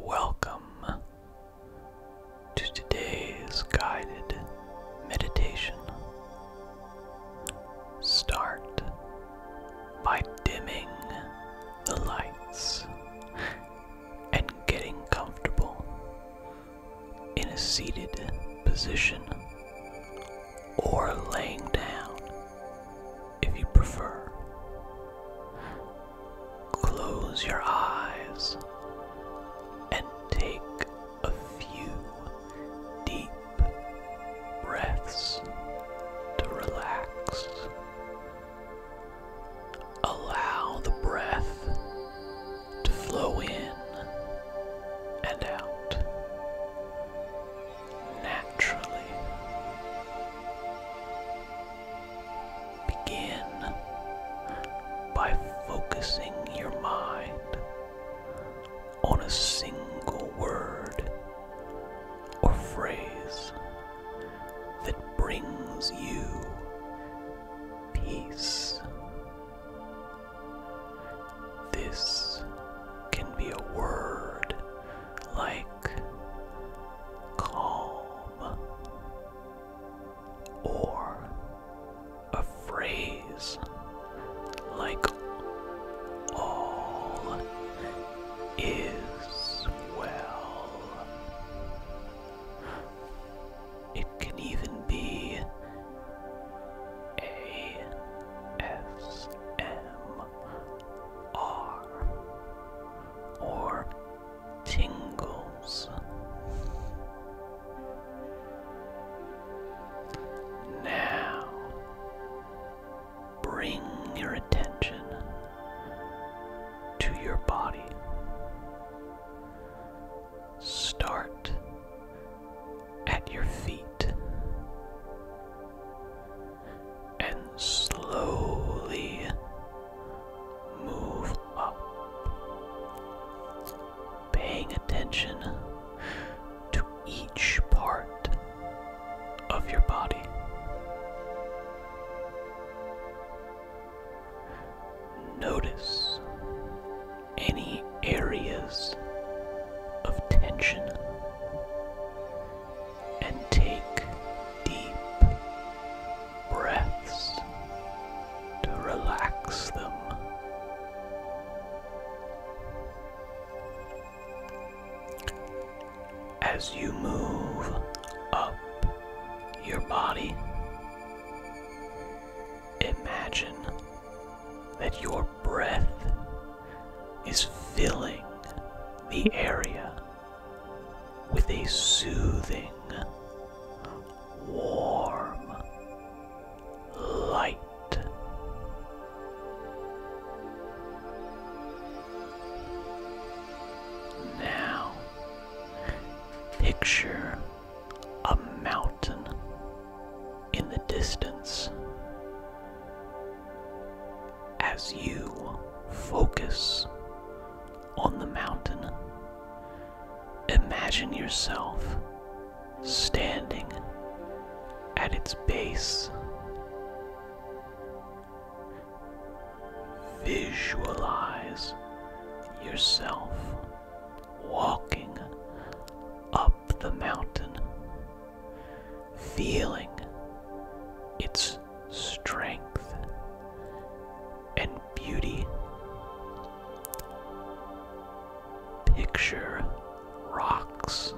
Welcome to today's guided meditation. Start by dimming the lights and getting comfortable in a seated position or laying down if you prefer. Close your eyes and take a few deep breaths to relax. Allow the breath to flow in and out naturally. Begin by focusing your mind on a single word or phrase that brings you peace. This can be a word like calm, or a phrase like all is well. It can even be a ASMR or tingles. Now, bring your attention to your body. Start at your feet and slowly move up, paying attention to each part of your body. Notice any areas of tension and take deep breaths to relax them. As you move up your body, imagine that your breath is filling the area with a soothing, warm light. Now, picture a mountain in the distance. As you focus on the mountain, imagine yourself standing at its base. Visualize yourself walking up the mountain, feeling its strength and beauty. Picture rocks.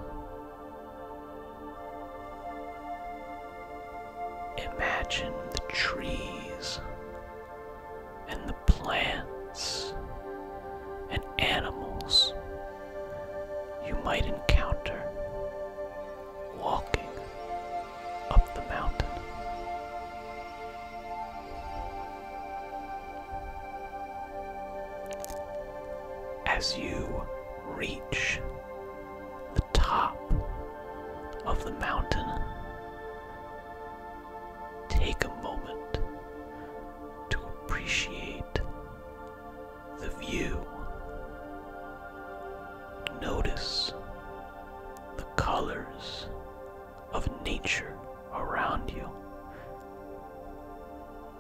Imagine the trees and the plants and animals you might encounter walking up the mountain. As you reach the top of the mountain, Take a moment to appreciate the view. Notice the colors of nature around you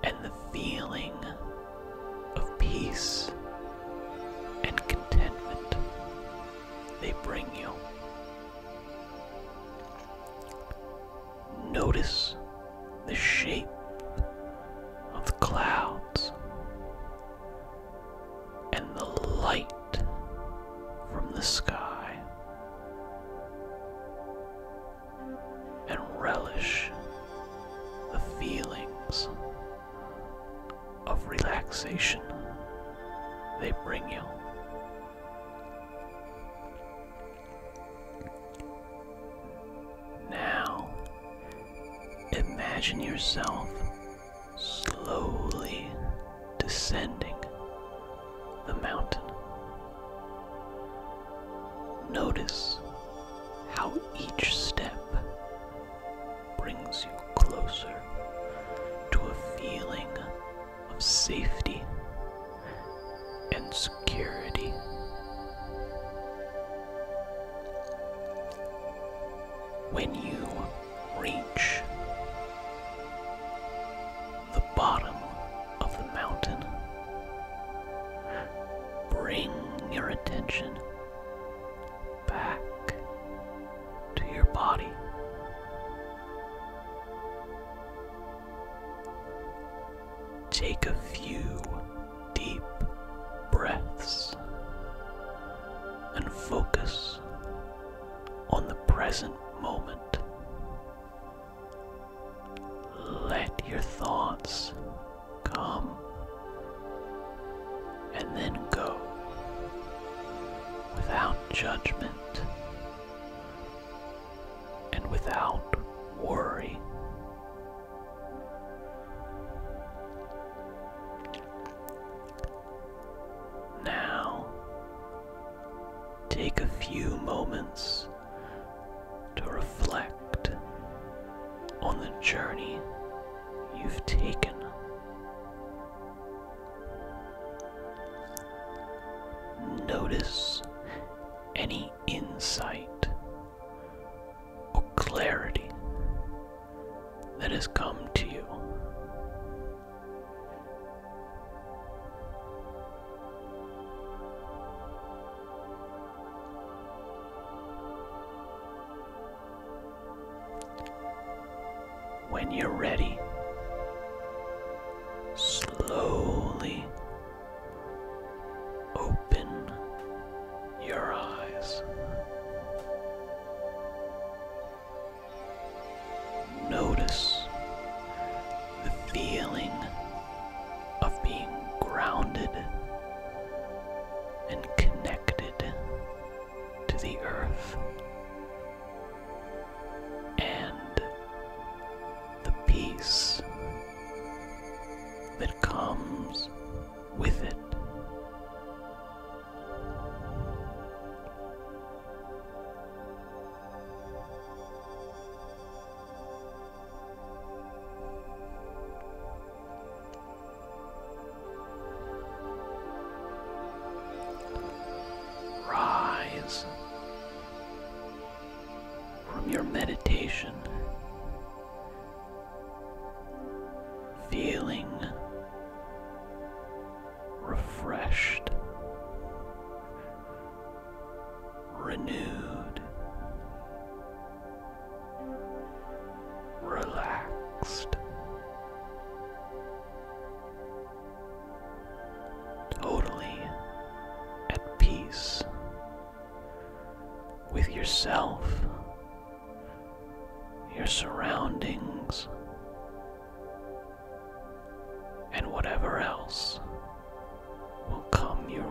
and the feeling of peace and contentment they bring you. Notice the shape of the clouds and the light from the sky, and relish the feelings of relaxation they bring you. Now, imagine yourself slowly descending the mountain. Notice how each step brings you closer to a feeling of safety and security. When you reach the bottom of the mountain, bring your attention back to your body. Take a few deep breaths and focus on the present moment. Let your thoughts come and then go without judgment and without worry. Now, take a few moments to reflect on the journey you've taken. Notice any insight or clarity that has come to you. When you're ready, slowly open your eyes. Notice the feeling of being grounded and connected to the earth and the peace that comes with it. Rise from your meditation, feeling refreshed, renewed, relaxed, totally at peace with yourself, your surroundings, and whatever else will come your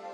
way.